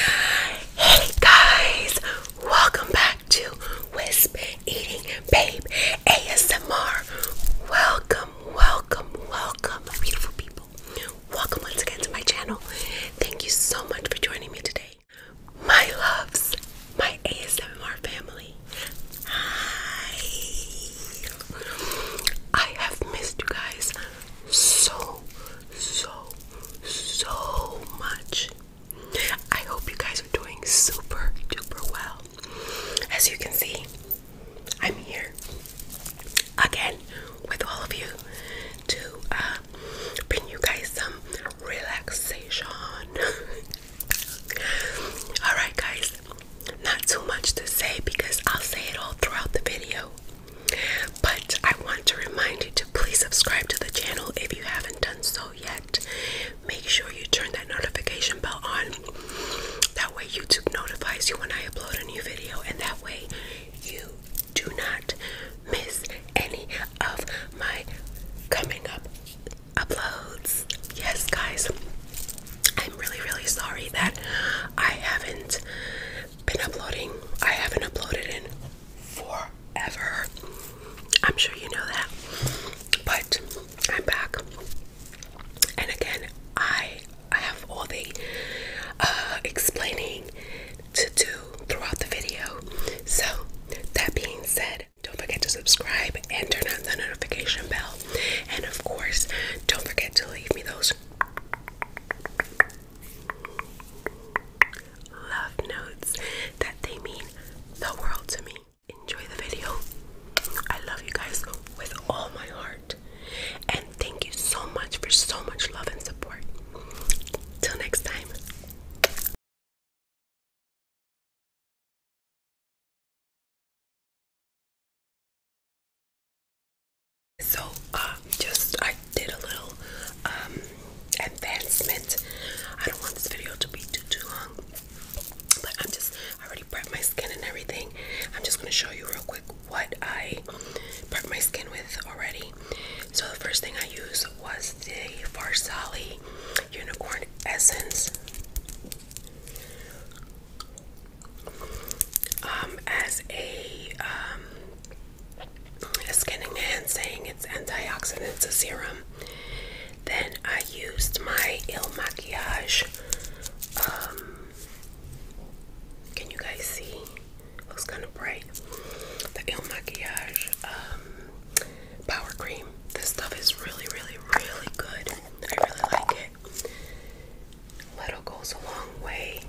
Hey guys, welcome back to Wisp Eating Babe ASMR. Welcome, welcome, welcome, beautiful people. Welcome once again to my channel. Thank you so much for joining me today. My loves, my ASMR family. Hi. I have missed you guys so so, so much. I hope you guys are doing super duper well. As you can see, I'm here again with all of you to uh, bring you guys some relaxation. Alright, guys, not too much to say because I'll say it all throughout the video. But I want to remind you to please subscribe to the channel if you haven't done so yet. Make sure you turn that notification bell on. That way, YouTube notifies you when I upload a new video, and that way, you do not miss any of my coming up uploads. Yes, guys, I'm really, really sorry that I haven't been uploading. I haven't uploaded in forever. I'm sure you know that. But I'm back. And again, I have all the uh, explaining to do throughout the video. So that being said, don't forget to subscribe and turn on the notification bell. And of course, don't forget to leave me those love notes that they mean the world to me. Enjoy the video. I love you guys with all my heart. And thank you so much for so much love and support. Till next time. So, um, just I did a little um, advancement. I don't want this video to be too too long, but I'm just I already prepped my skin and everything. I'm just gonna show you real quick what I prepped my skin with already. So the first thing I used was the Farsali Unicorn Essence. Um, as a a skinning man saying it's antioxidants, a serum. Then I used my Il Maquillage. Um, can you guys see? Looks kind of bright. The Il Maquillage um, Power Cream. This stuff is really, really, really good. I really like it. Little goes a long way.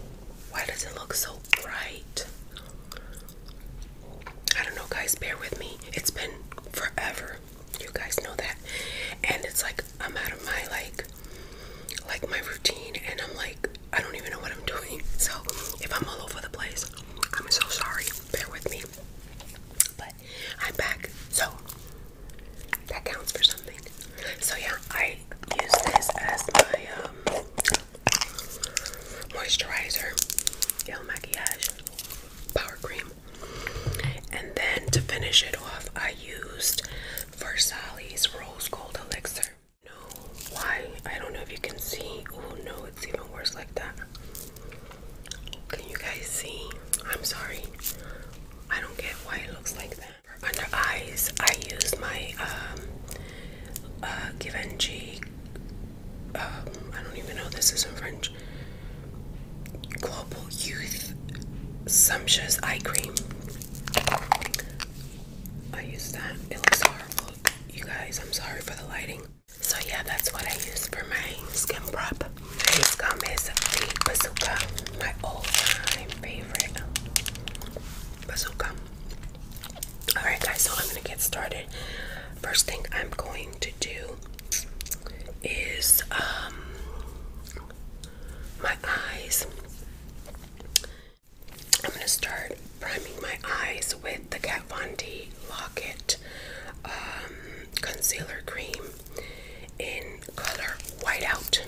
Why does it look so Right. I don't know, guys, bear with me. It's been forever. You guys know that. And it's like I'm out of my like like my routine and I'm like I don't even know what I'm doing. So if I'm all over the place, I'm so sorry. Bear with me. But I'm back. So that counts for something. So yeah, I use this as my um moisturizer, El Maquillage Power Cream. And then to finish it off, I used Versailles Rose Gold Elixir. No, why? I don't know if you can see. Oh no, it's even worse like that. Can you guys see? I'm sorry. I don't get why it looks like that. under eyes, I used my um, uh, Givenchy, um, I don't even know this is in French, Global Youth Sumptuous Eye Cream. I use that. It looks horrible. You guys, I'm sorry for the lighting. So yeah, that's what I use for my skin prep. This gum is the Bazooka, my all-time favorite. Bazooka. Alright, guys, so I'm going to get started. First thing I'm going to do is um, my eyes. I'm going to start priming my eyes with the Kat Von D Locket um, Concealer Cream in color Whiteout.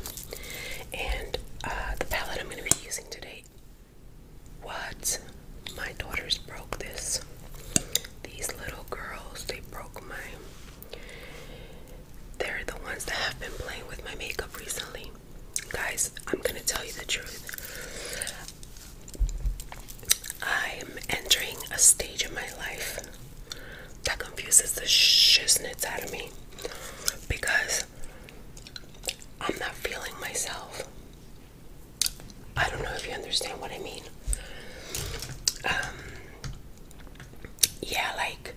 And uh, the palette I'm going to be using today what? My daughters broke this. These little girls, they broke my. They're the ones that have been playing with my makeup recently. Guys, I'm gonna tell you the truth. I'm entering a stage in my life that confuses the shiznits out of me because I'm not feeling myself. I don't know if you understand what I mean. Um, yeah, like,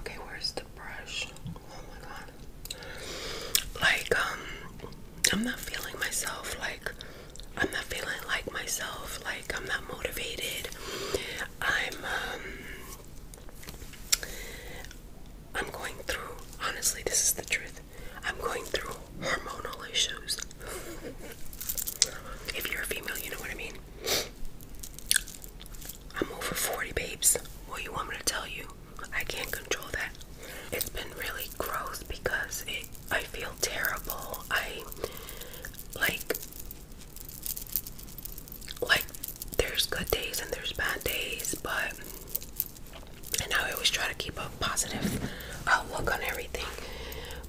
okay, where's the brush? Oh my god. Like, um, I'm not feeling myself. Like, I'm not feeling like myself. Like, I'm not motivated. I'm, um, I'm going through, honestly, this is the truth. I'm going through hormonal issues. if you're a female, you know what I mean. I'm over 40, babes. What do you want me to tell you? I can't control that. It's been really gross because it, I feel terrible. I like, like, there's good days and there's bad days, but and I always try to keep a positive outlook on everything.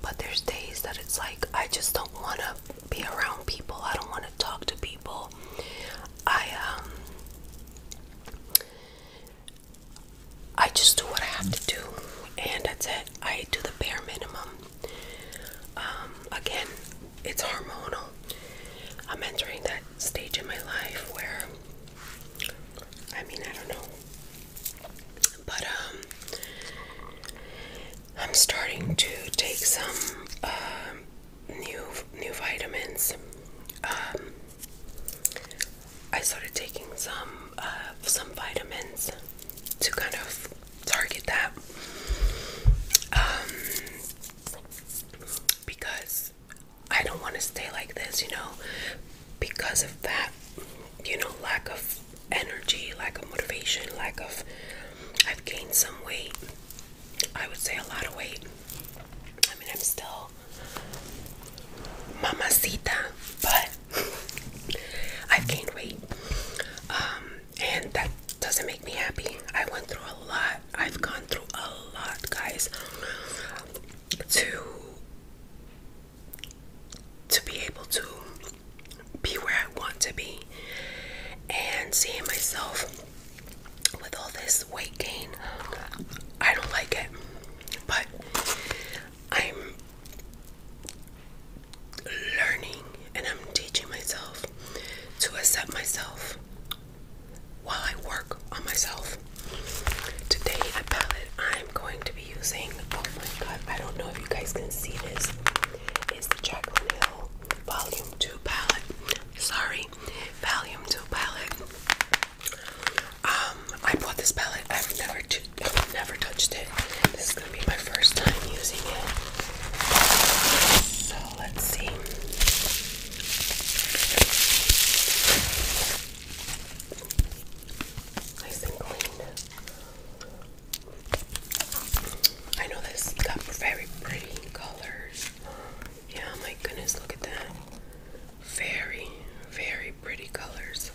But there's days that it's like I just don't want to be around people. I don't want to talk to people. I um, I just do what I have to do, and that's it. I do the bare minimum. Um, again, it's hormonal. I'm entering the stage in my life where I mean, I don't know. But um I'm starting to take some um, new new vitamins. Um I started taking some uh, some vitamins to kind of target that. Um because I don't want to stay like this, you know, because of that, you know, lack of energy, lack of motivation, lack of. I've gained some weight. I would say a lot of weight. I mean, I'm still mamacita, but I've gained weight. Um, and that doesn't make me happy. I went through a lot I've gone through a lot, guys, to to be able to be where I want to be and seeing myself with all this weight gain. I don't like it, but I'm learning and I'm teaching myself to accept myself while I work on myself. Today, palette I'm going to be using, oh my god, I don't know if you guys can see this, is the Jacqueline Hill Volume 2 palette. Sorry, Volume 2 palette. Um, I bought this palette. I've never, never touched it. This is gonna be my first time using it. So let's see. Nice and I know this got very pretty colors. Yeah, my goodness, look at that. Very, very pretty colors.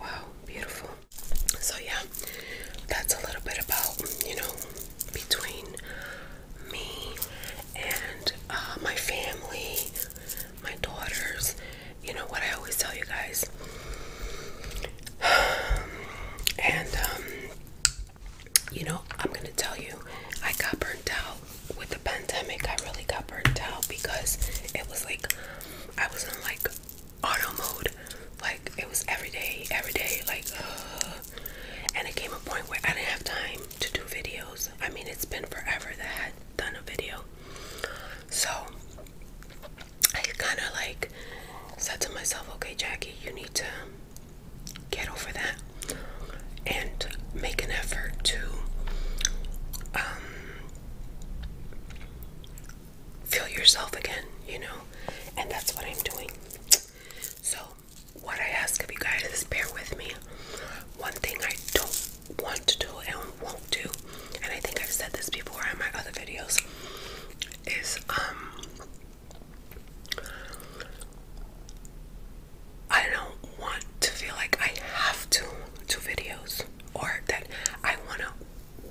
Wow, beautiful. So, yeah, that's a little bit about, you know, between me and uh, my family, my daughters. You know what I always tell you guys. and, um, you know, I'm going to tell you, I got burnt out with the pandemic. I really got burnt out because it was like I was in like auto mode. Like it was every day, every day, like and it came a point where I didn't have time to do videos. I mean, it's been forever that I had done a video. So I kind of like said to myself, okay, Jackie, you need to get over that and make an effort to um, feel yourself again, you know? And that's what I'm doing. So what I ask of you guys is bear with me. One thing I don't want to do and won't do, and I think I've said this before in my other videos, is um I don't want to feel like I have to do videos or that I wanna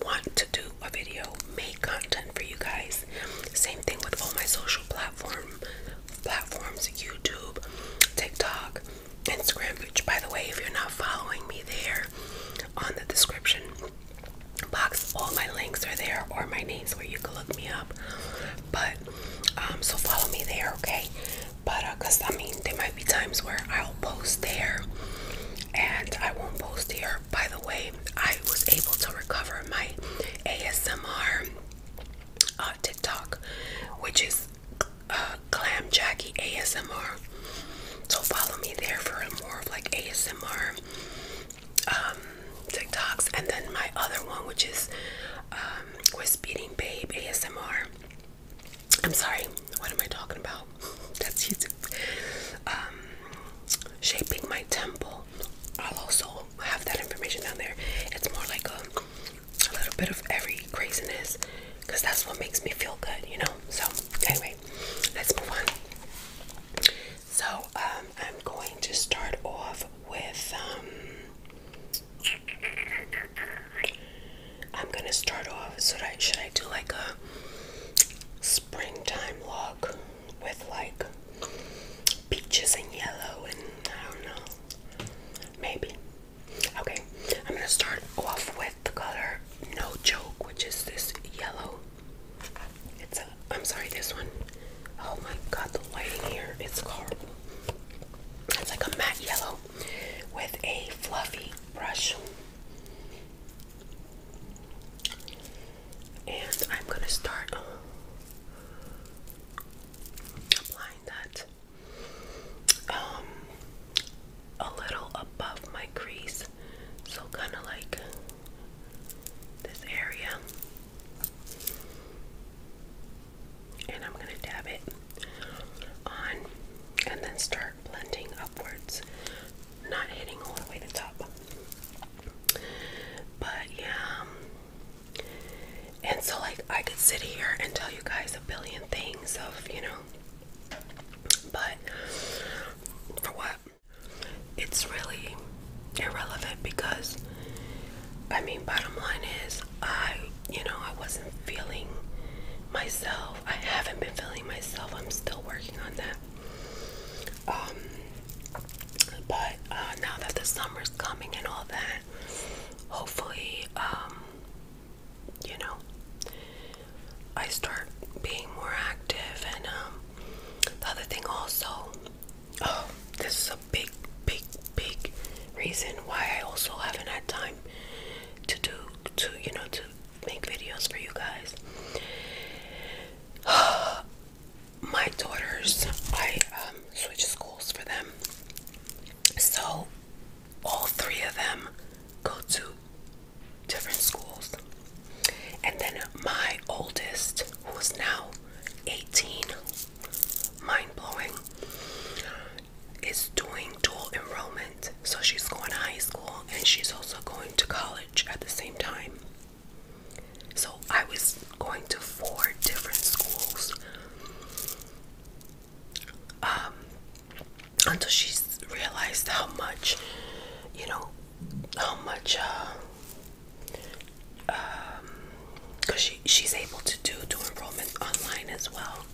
want to do a video, make content for you guys. Same thing with all my social platform platforms YouTube, TikTok, Instagram, which, by the way, if you're not following me there, on the description box, all my links are there or my names where you can look me up. But, um, so follow me there, okay? But, uh, cause I mean, there might be times where I'll post there and I won't post here. By the way, I was able to recover my ASMR uh, TikTok, which is uh, Glam Jackie ASMR. So follow me there for more of like ASMR um, TikToks, and then my other one, which is um, Wisp Babe ASMR. I'm sorry, what am I talking about? That's YouTube. Um, shaping my temple I'll also have that information down there. It's more like um, a, little bit of every craziness because that's what makes me feel good, you know. So, anyway, let's move on. So, um, I'm going to start off with. Um, I'm gonna start off. So, I, should I do like a springtime log with like peaches and yellow and I don't know. Maybe. Okay, I'm gonna start off with the color No Joke, which is this yellow. It's a, I'm sorry, this one. Oh my god, the lighting here is horrible. It's like a matte yellow with a fluffy brush. And I'm gonna start applying that um, a little above my crease so kind of like this area and I'm gonna dab it on and then start blending upwards not hitting all the way to top but yeah um, and so, like, I could sit here and tell you guys a billion things of, you know, but for what? It's really irrelevant because, I mean, bottom line is, I, you know, I wasn't feeling myself. I haven't been feeling myself. I'm still working on that. Um, but uh, now that the summer's coming and all that, hopefully, um, you know, I start being more active. And um, the other thing, also, oh, this is a big, big, big reason why I also haven't had time to do, to, you know, to make videos for you guys. my daughters, I um, switch schools for them. So all three of them go to different schools. And then my oldest, who is now 18, mind blowing, is doing dual enrollment. So she's going to high school and she's also going to college at the same time. So I was going to four different schools um, until she realized how much, you know, how much, uh, because um, she, she's able to do do enrollment online as well.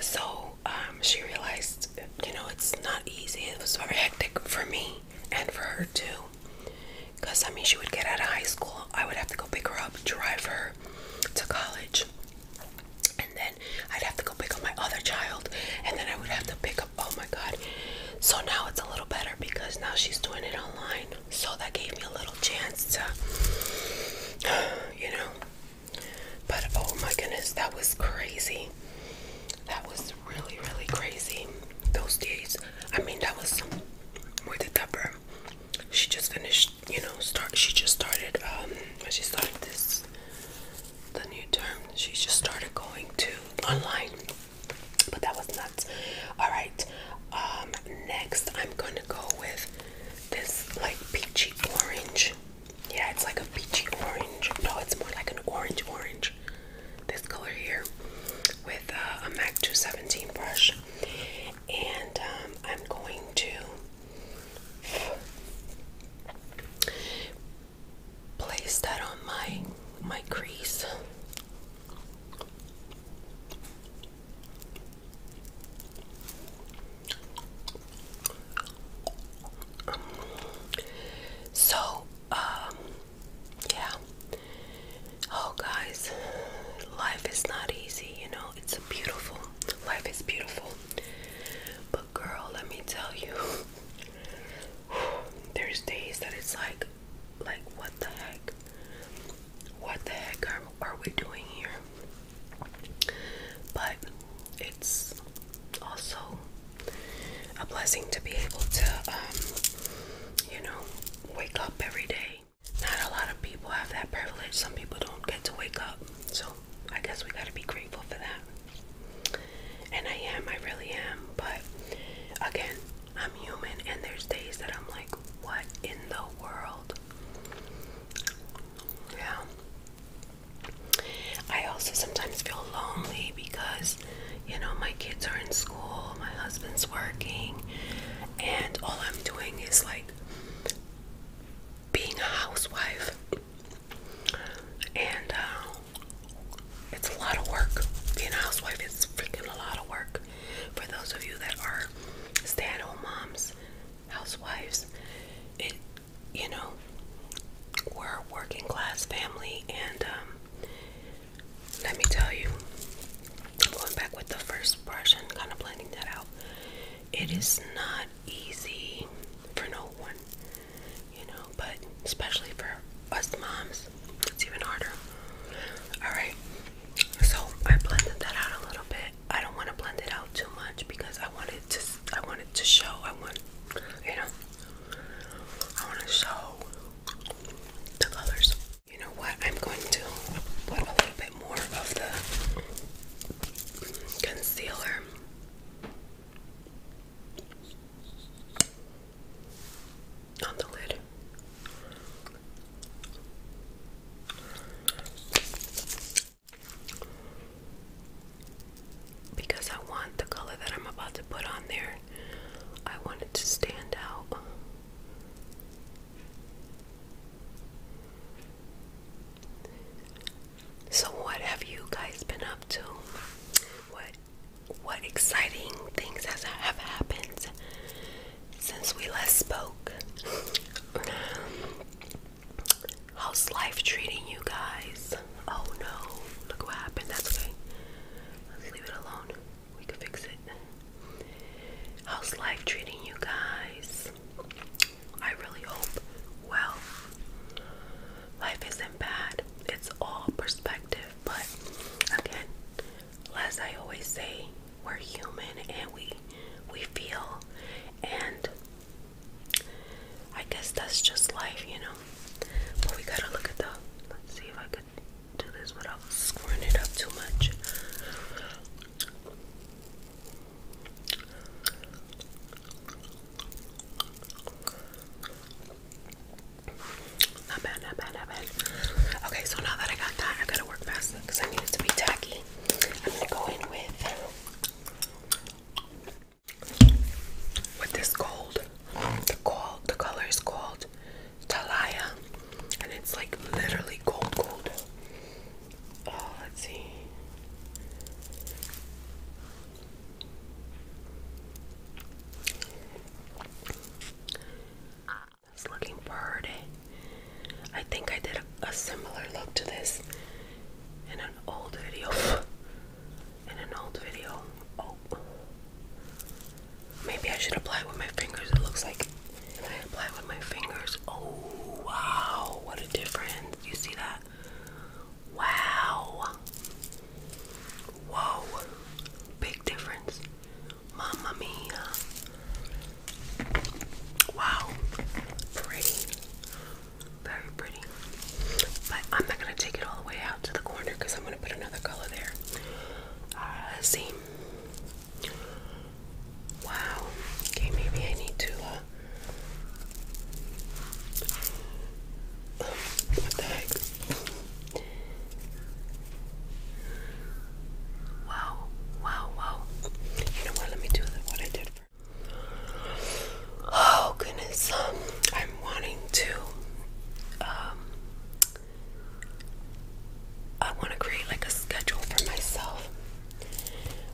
So um, she realized, you know, it's not easy. It was very hectic for me and for her too. Because, I mean, she would get out of high school. I would have to go pick her up, drive her to college. And then I'd have to go pick up my other child. And then I would have to pick up, oh my God. So now it's a little better because now she's doing it online. So that gave me a little chance to, you know. But oh my goodness, that was crazy. That was really, really crazy. Those days. I mean, that was with a tupper. She just finished, you know, start she just started um when she started this the new term, she just started going to online. But that was nuts. Alright. Um next I'm gonna go with this like peachy orange. Yeah, it's like a peachy orange. No, it's more like an orange orange this color here with uh, a MAC 217 brush, and um, I'm going to place that on my my crease. so, um, yeah. Oh, guys, life is not easy, you know. It's beautiful life is beautiful, but girl, let me tell you, there's days that it's like, like what the heck, what the heck are, are we doing here? But it's also a blessing to be able to, um, you know, wake up every day. Not a lot of people have that privilege. Some people don't get to wake up. So I guess we gotta be grateful for that. And I am, I really am. But again, I'm human and there's days that I'm like, what in the world? Yeah. I also sometimes feel lonely because you know, my kids are in school, my husband's working, and all I'm doing is like being a housewife. And uh, it's a lot of work. Being a housewife is freaking a lot of work. For those of you that are stay at home moms, housewives, it, you know, we're a working class family and um, let me tell you, going back with the first brush and kind of blending that out. It is not easy for no one, you know, but especially for us moms, it's even harder. Alright, so I blended that out a little bit. I don't want to blend it out too much because I want to I want to show. I want you know I want to show the colors. You know what? I'm going to put a little bit more of the concealer. On the lid. Because I want the color that I'm about to put on there, I want it to stand out. So what have you guys been up to? What what exciting things have happened since we last spoke? How's life treating you guys? Oh no, look what happened. That's okay. Let's leave it alone we can fix it. How's life treating you guys? I really hope well. Life isn't bad, it's all perspective, but again, as I always say, we're human and we we feel and I guess that's just life, you know. But we gotta look at the let's see if I could do this without screwing it up too much. Not bad, not bad, not bad. Okay, so now that I got that, I gotta work fast because I need it to be tacky. I'm gonna go in with with this gold the call, the color is called Talaya, and it's like literally gold, gold. Oh, let's see. It's looking pretty. I think I did a, a similar look to this in an old video. in an old video. Oh. Maybe I should apply with my fingers. It looks like if I apply with my fingers. Oh wow, what a difference. You see that? Wow. Whoa. Big difference. Mamma mia. Wow. Pretty. Very pretty. But I'm not gonna take it all the way out to the corner because I'm gonna put another color there. Uh, see. Wow. Okay, maybe I need to. Uh, what the heck? Wow, wow, wow. You know what? Let me do what I did Oh, goodness. I'm wanting to um, I want to create like a schedule for myself.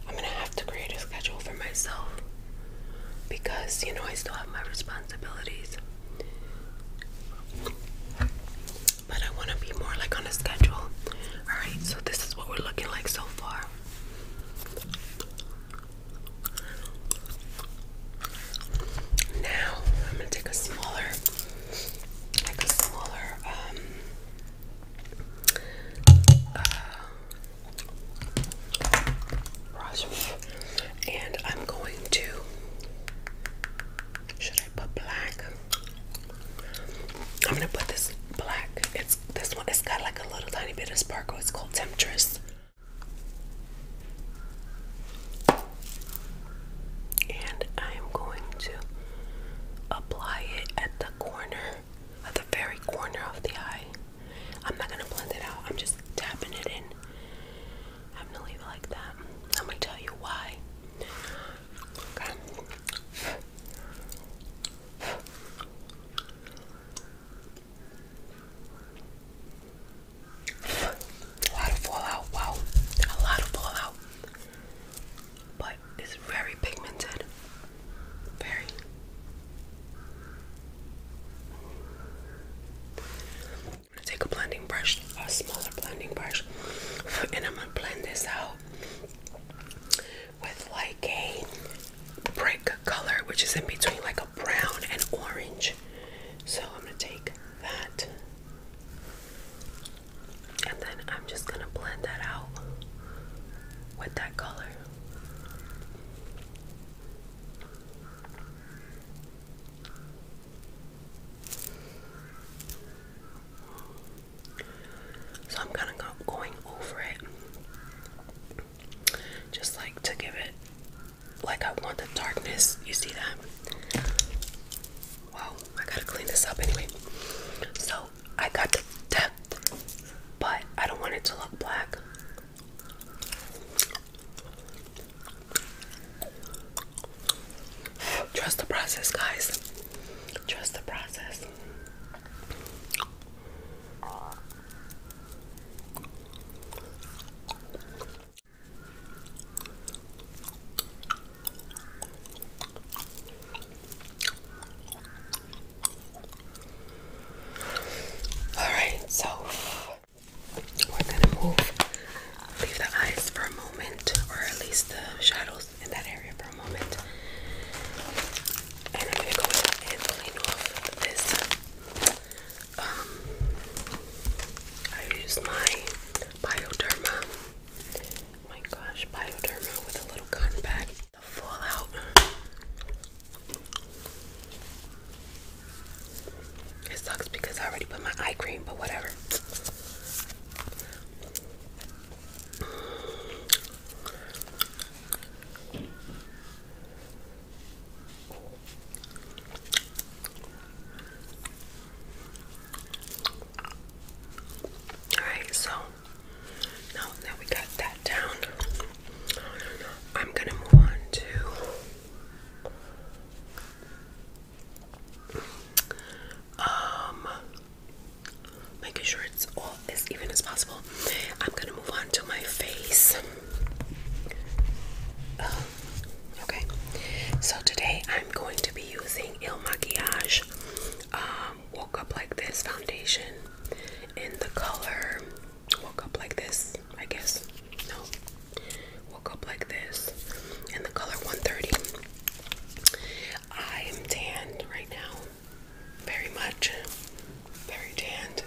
I'm gonna have to create a schedule for myself because you know I still have my responsibilities. But I want to be more like on a schedule. Alright, so this is what we're looking like so far. Now I'm gonna take a smaller, like a smaller, um, uh, brush, and I'm going to. Should I put black? I'm gonna put this black. It's this one. It's got like a little tiny bit of sparkle. It's called Temptress. And I am going to apply it at the corner, at the very corner of the eye. I'm not gonna blend it out, I'm just tapping it in. I'm gonna leave it like that. I'm gonna tell you why. Okay. A lot of fallout, wow. A lot of fallout. But it's very pigmented. Very. I'm gonna take a blending brush, a smaller blending brush, and I'm gonna blend this out with like a brick color, which is in between like a brown and orange. So I'm gonna take that and then I'm just gonna blend that out with that color. So I'm kind of going over it just like to give it like I want the darkness. You see that? Wow, I gotta clean this up anyway. So I got depth, but I don't want it to look black. Trust the process, guys. Trust the process. Alright, so we're gonna move, leave the eyes for a moment, or at least the shadows in that area for a moment. And I'm gonna go ahead and clean off this um, I use my Bioderma, my gosh, Bioderma with a little cotton bag, the Fallout. It sucks because I already put my eye cream, but whatever. Alright, so now that we got that down, I'm gonna move on to um making sure it's all as even as possible. I'm gonna move on to my face. Oh, Okay, so today I'm going to be using Il Maquillage um, Woke Up Like This foundation in the color Woke Up Like This, I guess. No, Woke Up Like This in the color 130. I am tanned right now, very much, very tanned.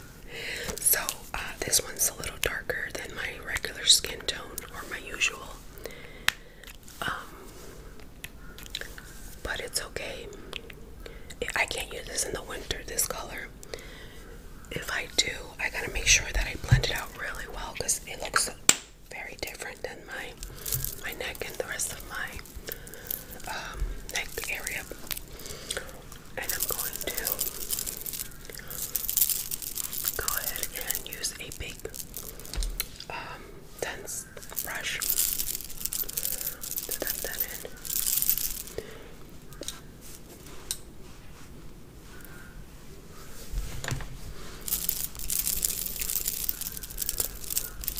So, uh, this one's a little darker than my regular skin tone or my usual. Um, but it's okay. I can't use this in the winter, this color. If I do, I gotta make sure that I blend it out really well because it looks very different than my my neck and the rest of my um, neck area. And I'm going to Go ahead and use a big um, dense brush to that in.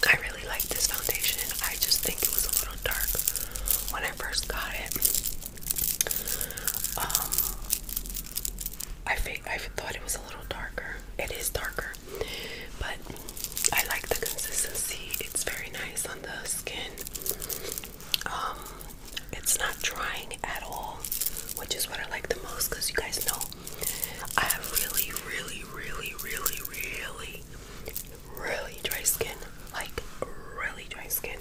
I really like this foundation. and I just think it was a little dark when I first got it. Um, I think I thought it was a little darker. It is darker, but I like the consistency. It's very nice on the skin. Um, it's not drying at all, which is what I like the most. Cause you guys know, I have really, really, really, really, really, really dry skin. Like really dry skin.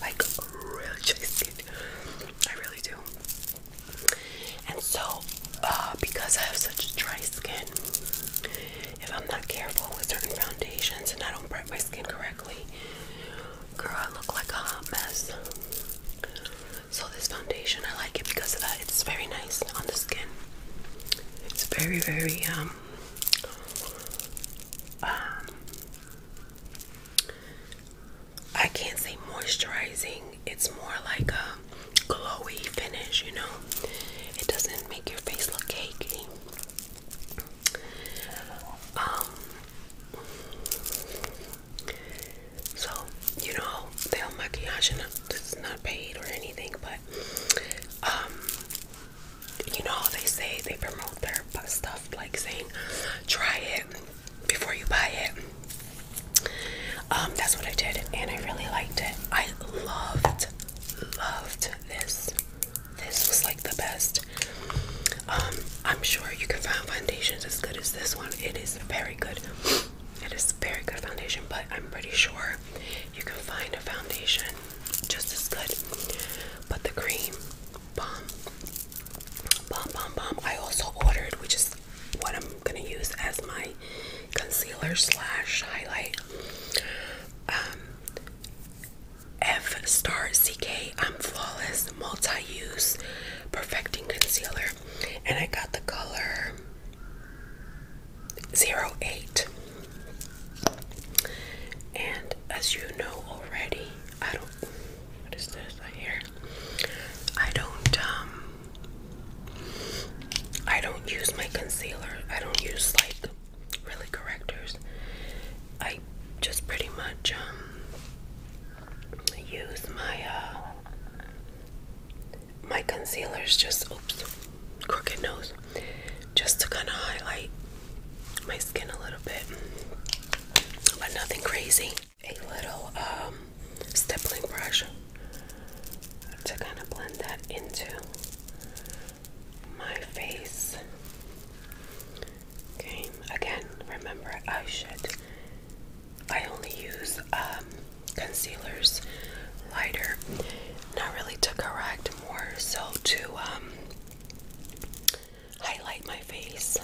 Like really dry skin. I really do. And so, uh, because I have such dry skin, if I'm not careful with certain foundations and I don't prep my skin correctly, girl, I look like a mess. So, this foundation, I like it because of that. It's very nice on the skin. It's very, very, um, um I can't say moisturizing, it's more like a glowy finish, you know. It doesn't make your face look cakey. Um, so, you know, the maquillage is not paid or anything, but um, you know they say they promote their stuff like saying try it before you buy it. Um, that's what I did, and I really liked it. I loved, loved this. This was like the best. Um, I'm sure you can find foundations as good as this one. It is very good. It is very good foundation, but I'm pretty sure you can find a foundation just as good. But the cream bomb bomb bomb bomb I also ordered which is what I'm gonna use as my concealer slash highlight um, F star CK I'm flawless multi-use perfecting concealer and I got the color 08 and as you know already I don't what is this I hear? I don't um I don't use my concealer. I don't use like really correctors. I just pretty much um use my uh my concealer's just oops crooked nose just to kind of highlight my skin a little bit, but nothing crazy. A little um, stippling brush to kind of blend that into my face. Okay, again, remember I should, I only use um, concealers lighter, not really to correct, more so to um, highlight my face.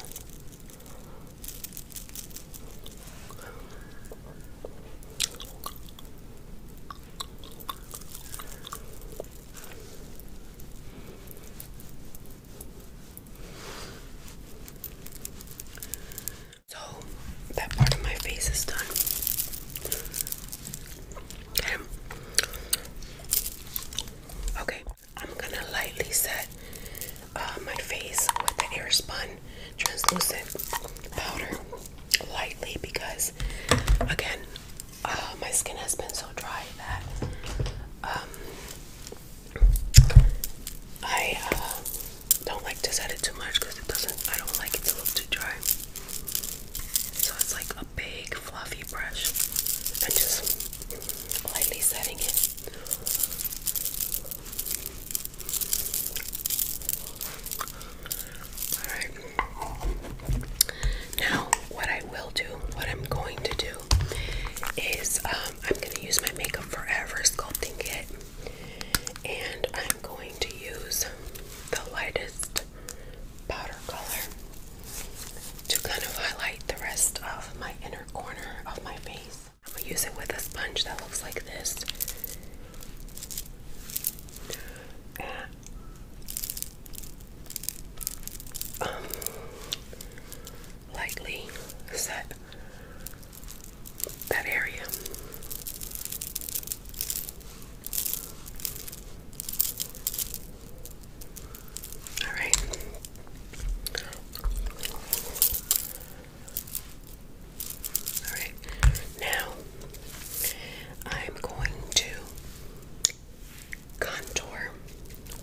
So that part of my face is done. Okay. I'm gonna lightly set uh, my face with the air spun translucent powder lightly because again uh, my skin has been so dry that um, I uh, don't like to set it too much because it doesn't I don't like it to look too dry so it's like a big fluffy brush and just lightly setting it. Alright. Now, what I will do, what I'm going to do, is um, I'm going to use my Makeup Forever Sculpting Kit. And I'm going to use the lightest powder color to kind of highlight the rest of my inner corner of my face. I'm gonna use it with a sponge that looks like this. And, um, lightly set that area. All right. All right. Now I'm going to contour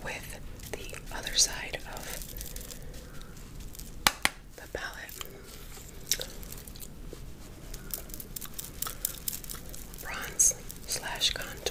with the other side of the palette. Bronze slash contour.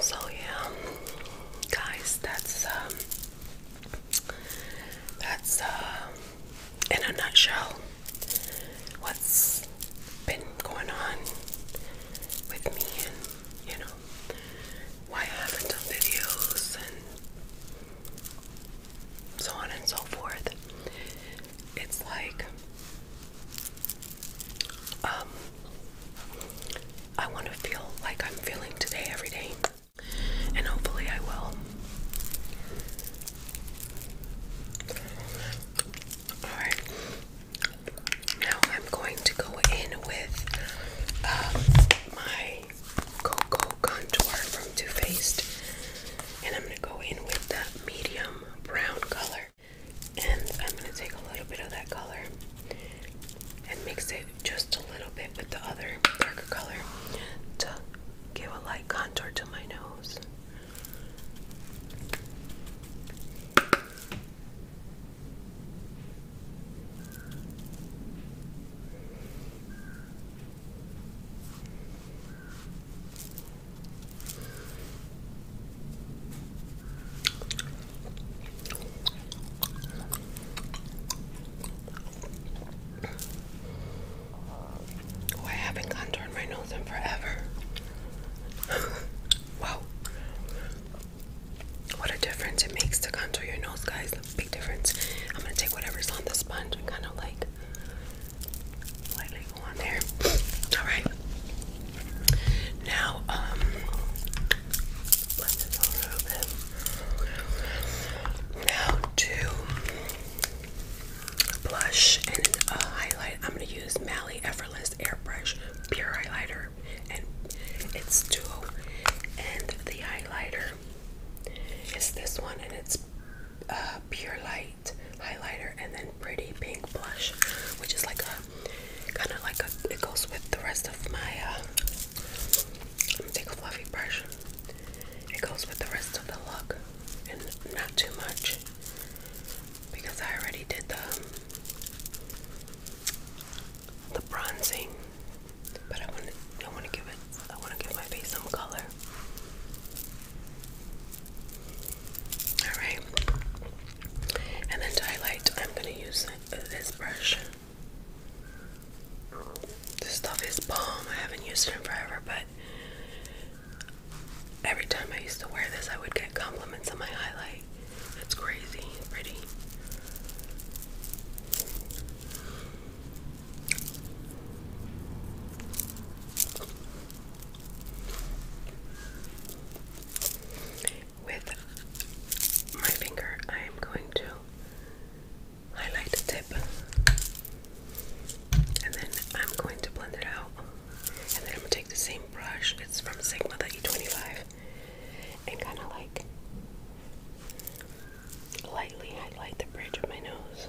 So yeah, guys, that's um, that's uh, in a nutshell what's been going on with me you know why I haven't done videos and so on and so forth. It's like um, I want to feel like I'm feeling today every day, and hopefully, I will. Alright, now I'm going to go in with um, my Cocoa Contour from Too Faced, and I'm going to go in with the medium brown color and I'm going to take a little bit of that color and mix it just a little bit with the other darker color to give a light contour to my nose. I haven't contoured my nose in forever. wow. What a difference it makes to contour your nose, guys. Big difference. I'm gonna take whatever's on the sponge and kind of like lightly go on there. All right. Now, um, Now to blush and uh, highlight, I'm gonna use Mally Effortless Airbrush Pure Highlighter, and it's duo. And the highlighter is this one, and it's uh, Pure Light highlighter and then pretty pink blush, which is like a kind of like a it goes with the rest of my. Uh, take a fluffy brush. It goes with the rest of the look, and not too much because I already did the the bronzing. But I want to I want to give it I want to give my face some color. Alright. And then highlight, I'm going to use this brush. This stuff is bomb. I haven't used it in forever, but every time I used to wear this, I would get compliments on my highlight. It's crazy, pretty. With my finger, I am going to highlight the tip and then I'm going to blend it out. And then I'm gonna take the same brush, it's from Sigma, the E25, and kind of like lightly highlight the bridge of my nose.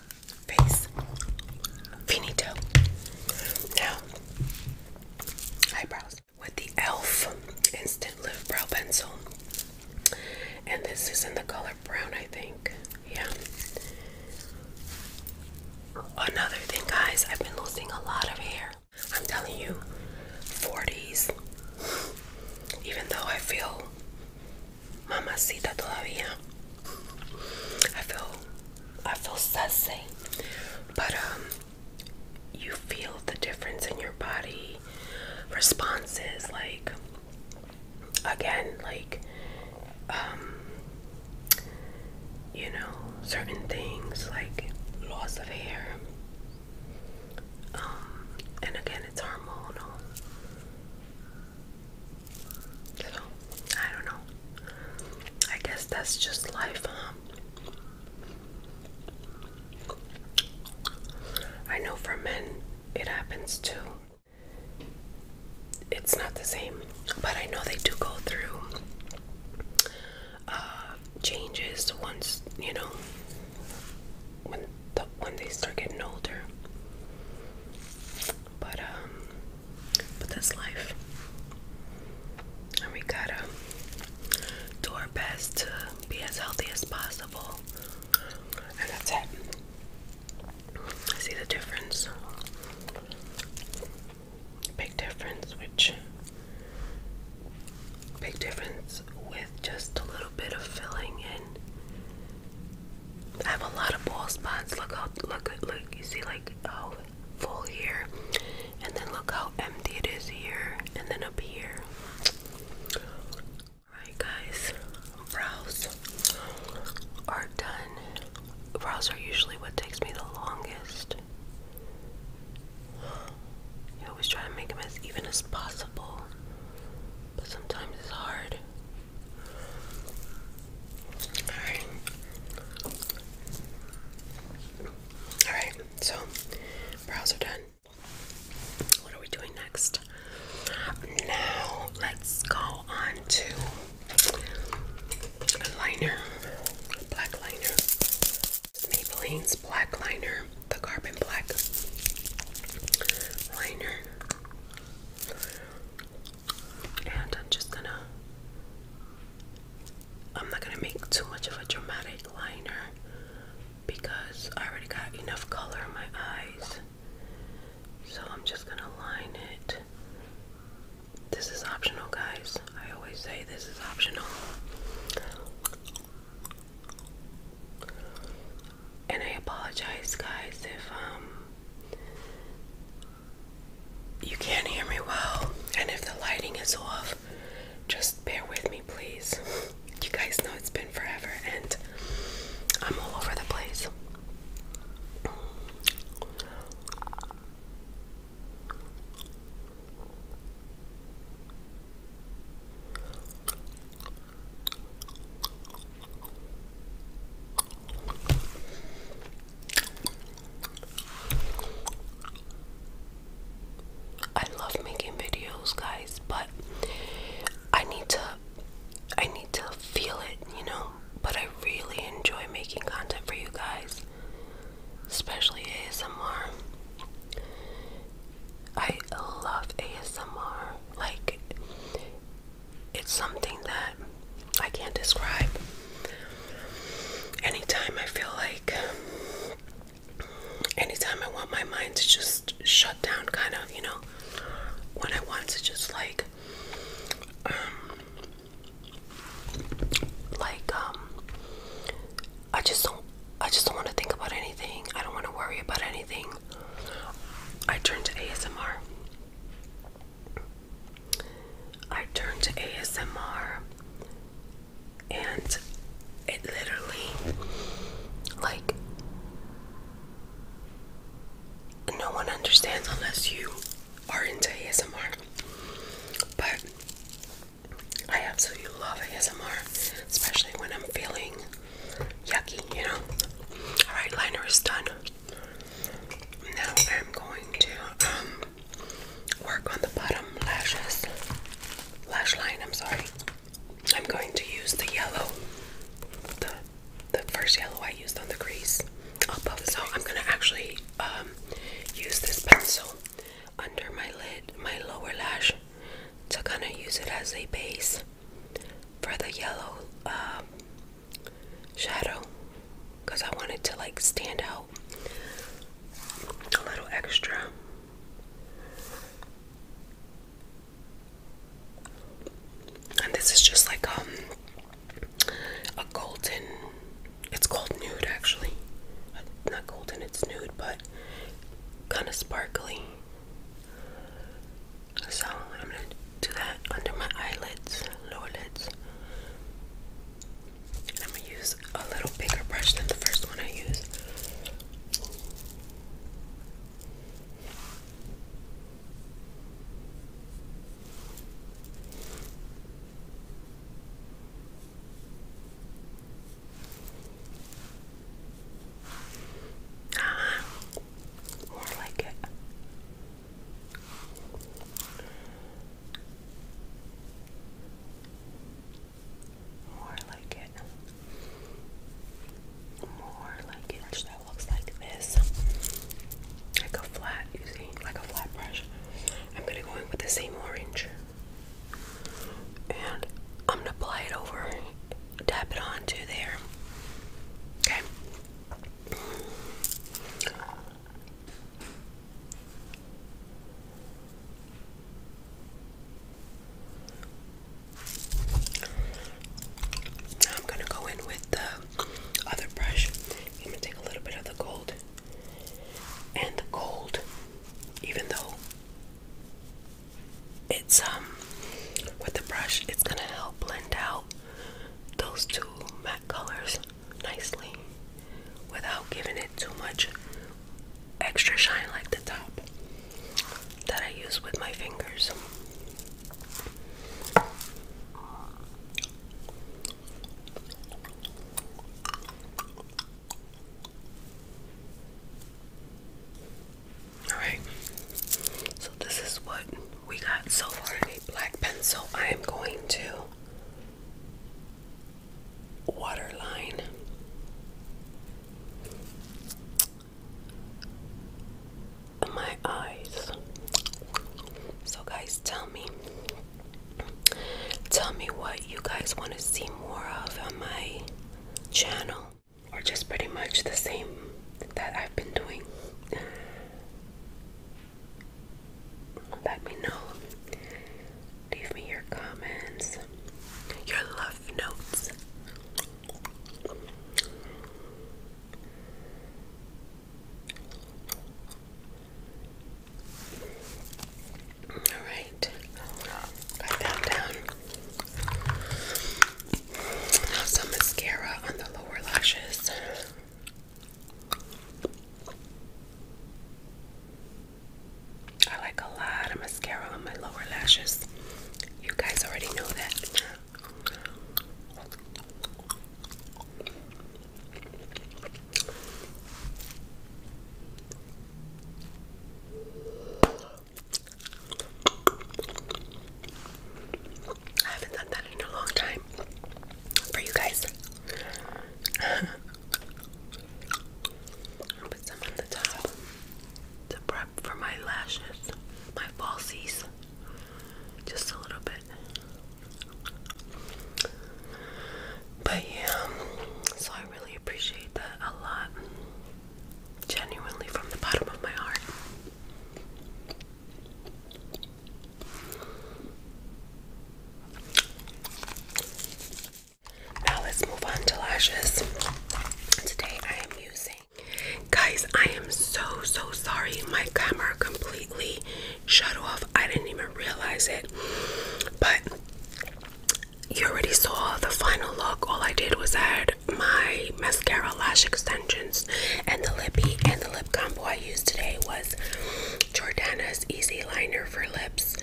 face. Finito. Now, eyebrows. With the e.l.f. Instant Lift Brow Pencil. And this is in the color brown, I think. Yeah. Another thing, guys, I've been losing a lot of hair. I'm telling you, 40s. Even though I feel mamacita todavía. I feel I feel sassy. But um you feel the difference in your body responses like again like um you know certain things like loss of hair um and again it's hormonal so, I don't know. I guess that's just life, I know for men it happens too. It's not the same, but I know they do go through uh, changes once you know when when they start getting older. But um but that's life. And we gotta do our best to be as healthy as possible. And that's it. I see the difference. Big difference, which big difference with just a little bit of filling in I have a lot of bald spots. Look how look look you see like how full here, and then look how empty it is here, and then up here. Alright guys, brows are done. Brows are usually what takes me the longest. You always try to make them as even as possible, but sometimes it's hard. Alright. Alright, so brows are done. What are we doing next? Now let's go on to a liner, black liner, Maybelline's black liner, the carbon black liner. And I'm just gonna, I'm not gonna make too much of a dramatic liner because I already got enough color in my eyes. So I'm just gonna line it. This is optional, guys. I always say this is optional and I apologize, guys, if um you can't hear me well, and if the lighting is off, just bear with me, please. You guys know it's been forever, and I'm all over the place. I love making videos, guys, but I need to I need to feel it, you know? But I really enjoy making content for you guys. Especially ASMR. I love ASMR. Like it's something that I can't describe. Anytime I feel like, anytime I want my mind to just shut down, kind of, you know, when I want to just like, um, like, um, I just don't, I just don't want to think about anything. I don't want to worry about anything. I turn to ASMR. I turn to ASMR and it literally like no one understands unless you are into ASMR. But I absolutely love ASMR, especially when I'm feeling yucky, you know. All right, liner is done. Now I'm going to um, work on the bottom lashes, lash line. I'm sorry. I'm going to use the yellow, the the first yellow I used on the crease. Above. So I'm gonna actually um, use this pencil under my lid, my lower lash, to kind of use it as a base for the yellow um, shadow because I wanted to like stand out a little extra. And this is just like um a golden it's called nude actually. Not golden, it's nude, but kind of sparkly. So I'm gonna do that under my eyelids, lower lids. I'm gonna use a little bigger brush than the first one I used. Uh more like it. More like it. More like it. that looks like this. Like a flat, you Like a flat brush. I'm gonna go in with the same orange. And I'm gonna apply it over. Tap it onto there. Okay. I'm going to go in with the other brush. I'm going to take a little bit of the gold. And the gold, even though it's um with the brush, it's going to help blend out those two matte colors nicely without giving it too much extra shine like the top that I use with my fingers. Alright, so this is what we got so far a black pencil. I am going to waterline my eyes. So, guys, tell me. Tell me what you guys want to see more of on my channel or just pretty much the same that I've been doing, let me know. Leave me your comments, your love notes. All right, got that down some mascara on the lower lashes. I like a lot of mascara on my lower lashes. You guys already know that. I haven't done that in a long time for you guys. i put some on the top to prep for my lashes, my falsies, just a little bit. But yeah, um, so I really appreciate that a lot. Genuinely from the bottom of my heart. Now let's move on to lashes. Today I am using guys I am so so sorry my camera completely shut off. I didn't even realize it. But you already saw the final look. All I did was add my mascara lash extensions and the lippy and the lip combo I used today was Jordana's Easy Liner for Lips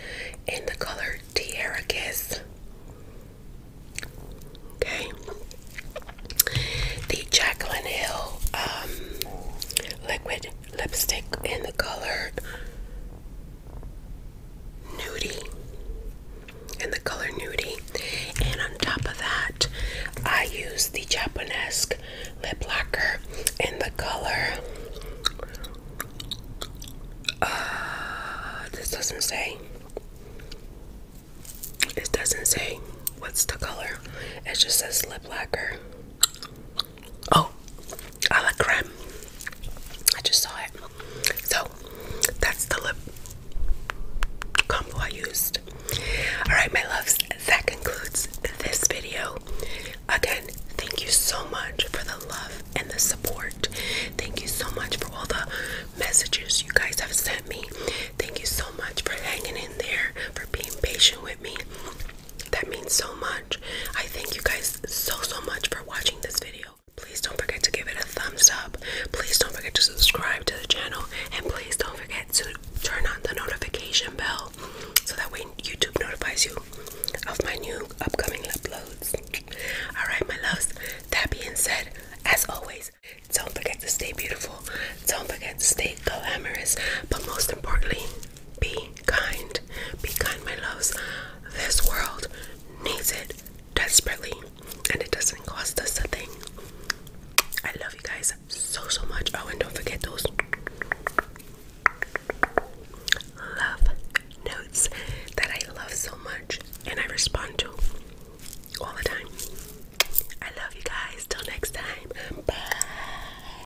in the color Tierra Kiss. Okay. The Jacqueline Hill um, liquid lipstick in the color Nudie in the color Nudie. And on top of that, I use the Japanese lip lacquer in the color. Uh, this doesn't say. This doesn't say what's the color. It just says lip lacquer. Oh, a la creme. I just saw it. So that's the lip combo I used. Alright, my loves, that concludes this video. Again, thank you so much for the love and the support. Thank you so much for all the messages you guys have sent me. Thank you so much for hanging in there, for being patient with me. That means so much. I thank you guys so, so much for watching this video. Please don't forget to give it a thumbs up. Please don't forget to subscribe to the channel and please don't forget to turn on the notification bell so that way YouTube notifies you of my new upcoming uploads. Alright, my loves, that being said, as always, don't forget to stay beautiful, don't forget to stay glamorous, but most importantly, be kind. Be kind, my loves. This world needs it desperately and it doesn't cost us a thing. I love you guys so so much. Oh, and don't forget those love notes that I love so much and I respond to all the time. I love you guys. Till next time. Bye.